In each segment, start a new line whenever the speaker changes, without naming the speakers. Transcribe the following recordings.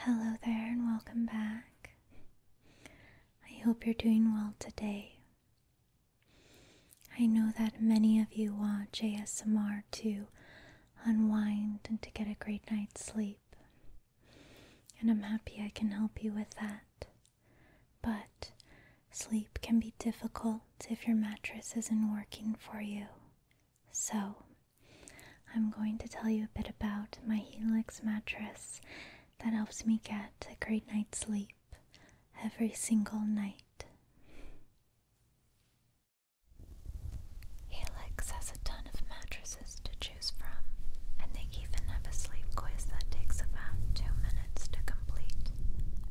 Hello there, and welcome back. I hope you're doing well today. I know that many of you watch ASMR to unwind and to get a great night's sleep, and I'm happy I can help you with that. But sleep can be difficult if your mattress isn't working for you. So, I'm going to tell you a bit about my Helix mattress that helps me get a great night's sleep every single night.
Helix has a ton of mattresses to choose from, and they even have a sleep quiz that takes about two minutes to complete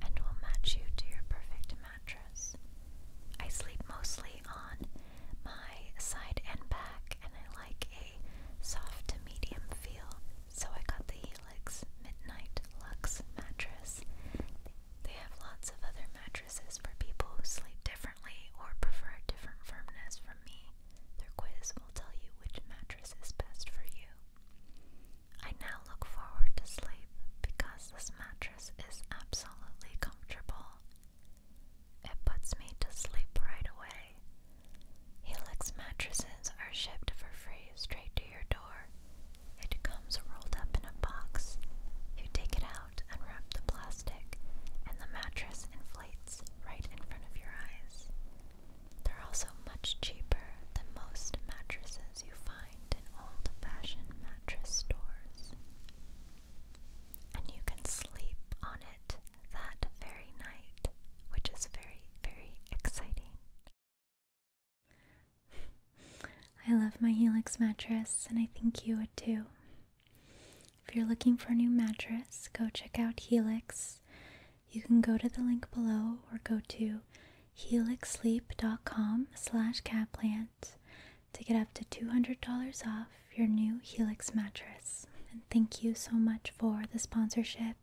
and will match you to your perfect I sleep mostly on my side and back, and I like a soft to medium feel, so I got the Helix Midnight Lux mattress. They have lots of other mattresses for people who sleep differently or prefer a different firmness from me. Their quiz will tell you which mattress is best for you. I now look forward to sleep because this mattress is absolutely comfortable. It puts me to sleep right away. Helix mattresses are shipped for free straight to your door. It comes rolled up in a box. You take it out, and wrap the plastic, and the mattress inflates right in front of your eyes. They're also much cheaper than most mattresses you find in old fashioned mattress stores and you can sleep on it that very night, which is very, very exciting.
I love my Helix mattress, and I think you would too. If you're looking for a new mattress, go check out Helix. You can go to the link below or go to helixsleep.com slash catplant to get up to $200 off your new Helix mattress. And thank you so much for the sponsorship.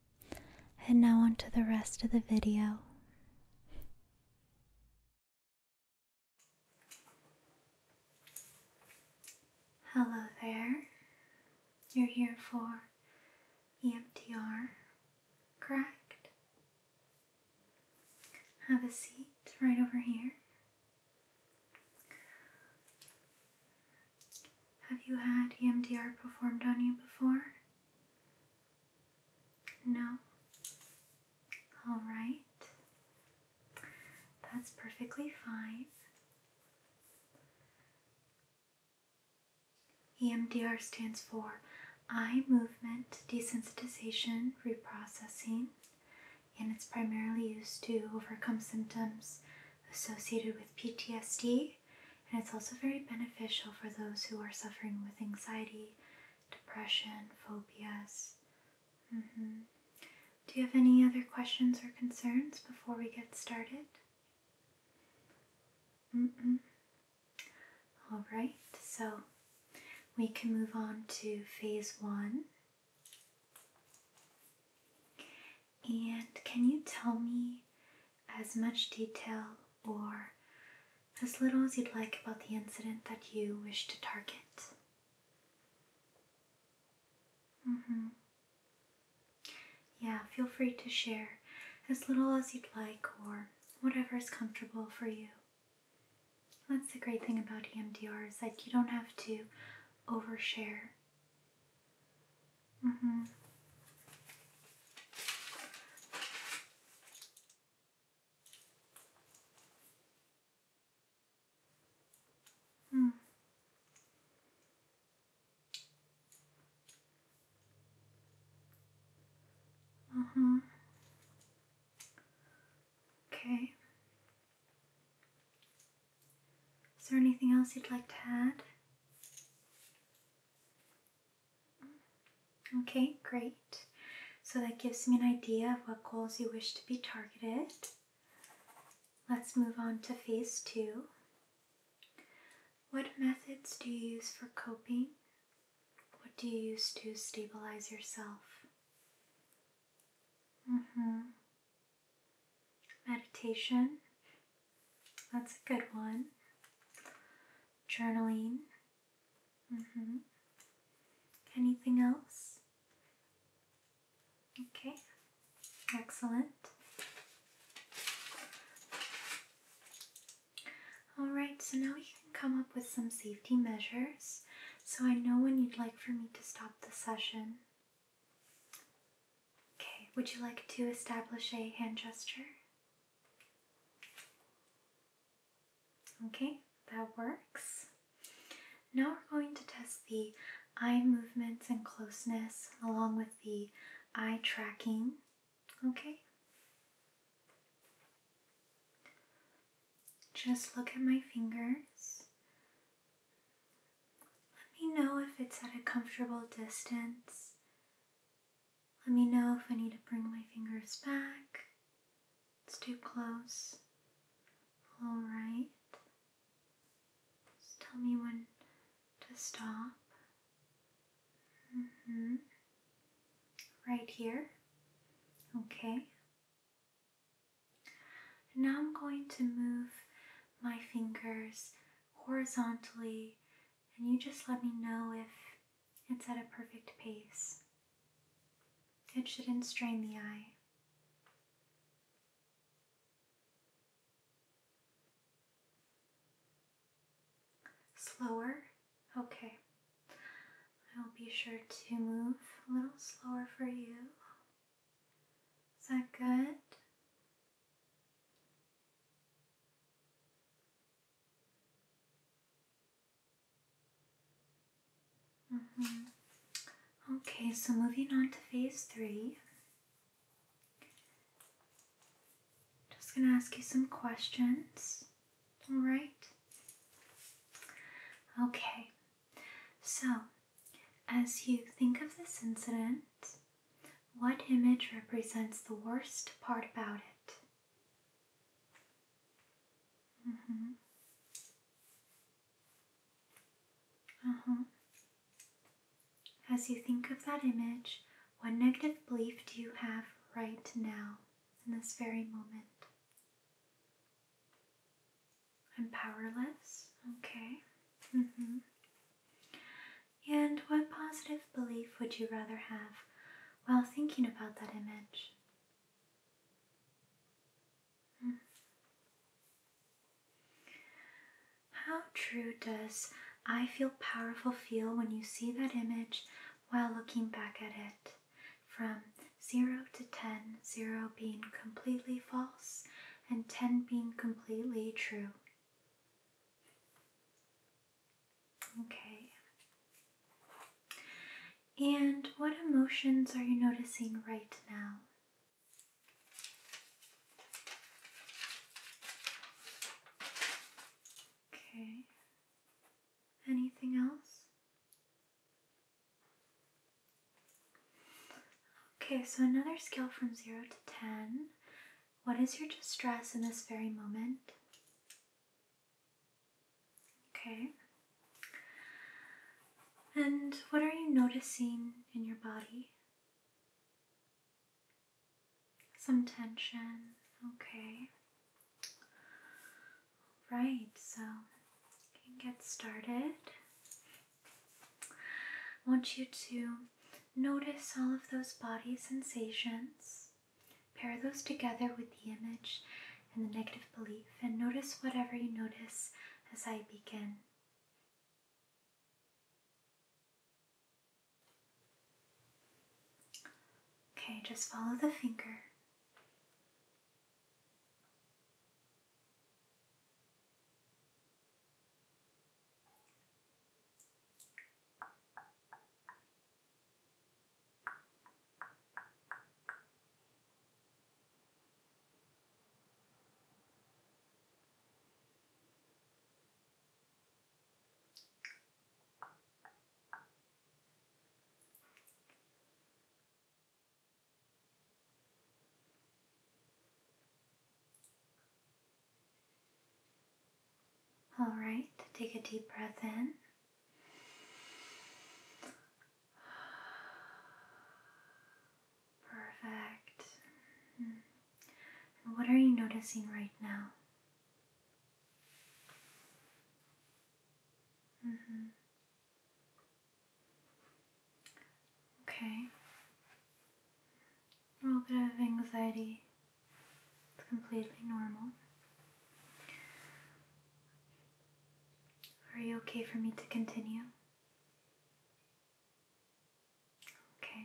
And now on to the rest of the video. Hello there. You're here for EMTR, correct? Have a seat right over here. Have you had EMDR performed on you before? No? Alright. That's perfectly fine. EMDR stands for eye movement desensitization reprocessing, and it's primarily used to overcome symptoms associated with PTSD. And it's also very beneficial for those who are suffering with anxiety, depression, phobias. Mm-hmm. Do you have any other questions or concerns before we get started? Mm -mm. All right, so we can move on to phase one. And can you tell me as much detail or as little as you'd like about the incident that you wish to target? Mm-hmm. Yeah, feel free to share as little as you'd like or whatever is comfortable for you. That's the great thing about EMDR is that you don't have to overshare. Mm hmm. Hmm. Uh-huh. Okay. Is there anything else you'd like to add? Okay, great. So that gives me an idea of what goals you wish to be targeted. Let's move on to phase two. What methods do you use for coping? What do you use to stabilize yourself? Mm hmm. Meditation. That's a good one. Journaling. Mm hmm. Anything else? Okay. Excellent. Alright, so now we can come up with some safety measures. So I know when you'd like for me to stop the session. Okay, would you like to establish a hand gesture? Okay, that works. Now we're going to test the eye movements and closeness along with the eye tracking. Okay? Just look at my fingers. Let me know if it's at a comfortable distance. Let me know if I need to bring my fingers back. It's too close. Alright. Just tell me when to stop. Mm hmm right here. Okay. now I'm going to move my fingers horizontally, and you just let me know if it's at a perfect pace. It shouldn't strain the eye. Slower Okay. I will be sure to move a little slower for you. Is that good? Mm -hmm. Okay, so moving on to phase three. Just gonna ask you some questions. All right. Okay. So, as you think of this incident, what image represents the worst part about it? Mm -hmm. Uh huh. As you think of that image, what negative belief do you have right now? in this very moment. I'm powerless, okay. Mm-hmm. And what positive belief would you rather have while thinking about that image? Hmm. How true does I feel powerful feel when you see that image while looking back at it from 0 to 10, 0 being completely false and 10 being completely true. Okay. And what emotions are you noticing right now? Okay. Anything else? Okay, so another scale from 0 to 10. What is your distress in this very moment? Okay. And what are you noticing in your body? Some tension, okay. Right, so get started. I want you to notice all of those body sensations, pair those together with the image and the negative belief, and notice whatever you notice as I begin. Okay, just follow the finger. All right, take a deep breath in. Perfect. Mm-hmm. what are you noticing right now? Mm -hmm. Okay. A little bit of anxiety. It's completely normal. Are you okay for me to continue? Okay.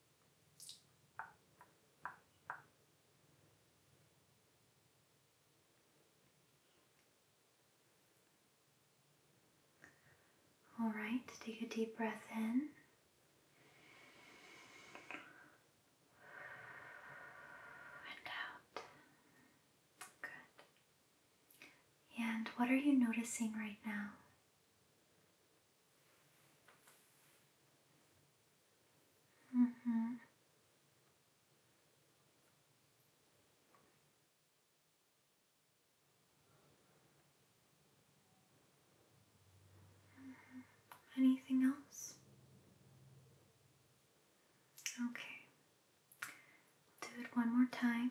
All right, take a deep breath in. And out. Good. And what are you noticing right now? Mm -hmm. Anything else? Okay, do it one more time.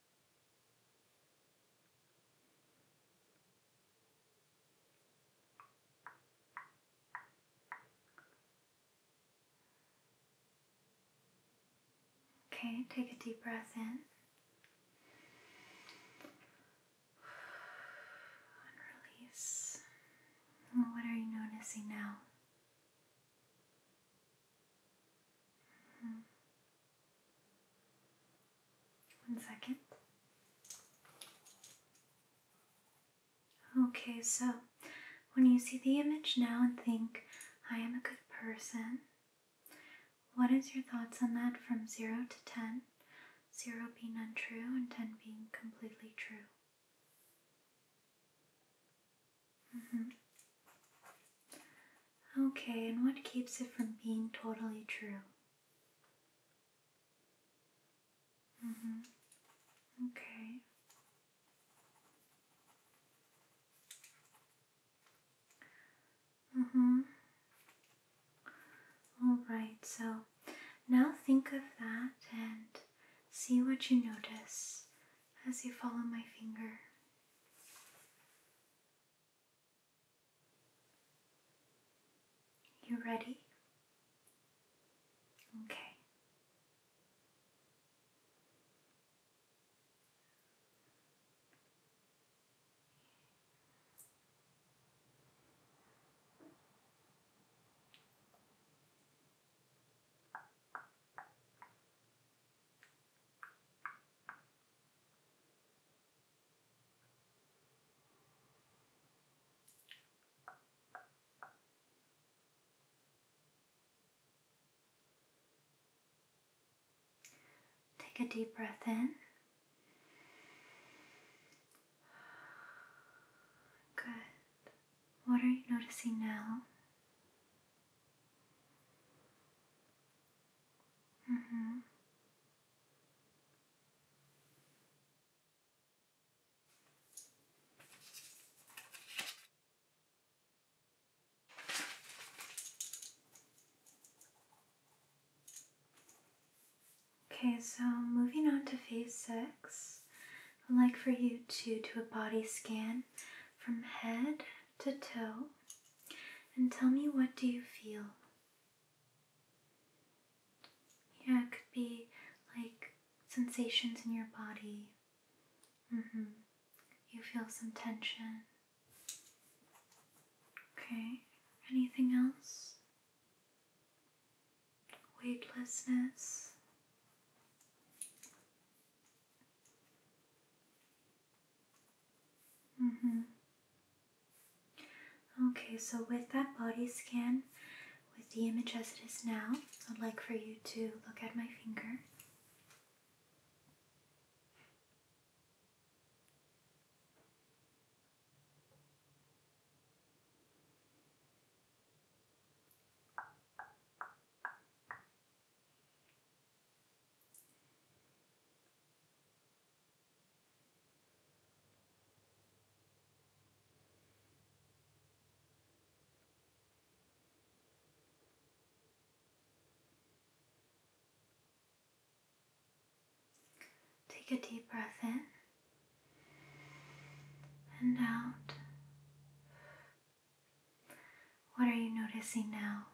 Okay, take a deep breath in release. What are you noticing now? Mm-hmm. One second. Okay, so when you see the image now and think, I am a good person, what is your thoughts on that from 0 to 10? 0 being untrue and 10 being completely true. Mm -hmm. Okay, and what keeps it from being totally true? Mm-hmm. Okay. Mm hmm. Alright, so now think of that and see what you notice as you follow my finger. You ready? Okay. Take a deep breath in. Good. What are you noticing now? Mm-hmm. Okay, so moving on to phase six, I'd like for you to do a body scan from head to toe and tell me what do you feel? Yeah, it could be like sensations in your body. Mm-hmm. You feel some tension. Okay, anything else? Weightlessness. Mm hmm Okay, so with that body scan, with the image as it is now, I'd like for you to look at my finger. Take a deep breath in and out. What are you noticing now?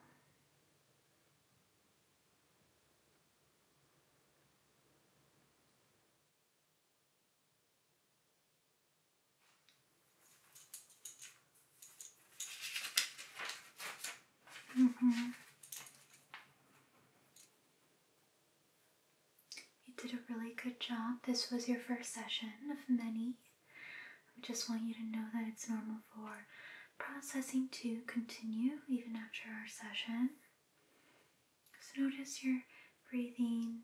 Mm -hmm. You did a really good job. This was your first session of many. I just want you to know that it's normal for processing to continue even after our session. So notice your breathing,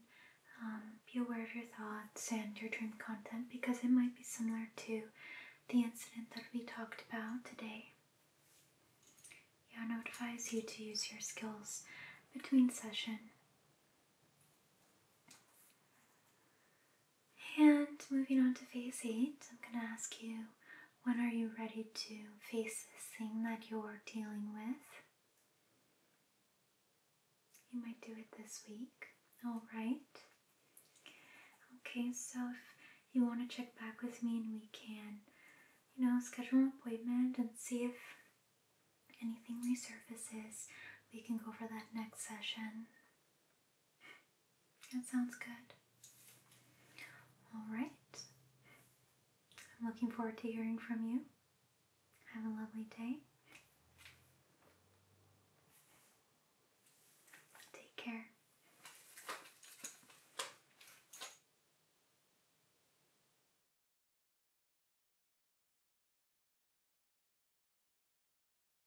um, be aware of your thoughts and your dream content because it might be similar to the incident that we talked about today. Yano advise you to use your skills between session. And moving on to phase eight, I'm going to ask you when are you ready to face this thing that you're dealing with? You might do it this week, alright? Okay, so if you want to check back with me and we can, you know, schedule an appointment and see if anything resurfaces, we can go for that next session. That sounds good. Alright. I'm looking forward to hearing from you. Have a lovely day. Take care.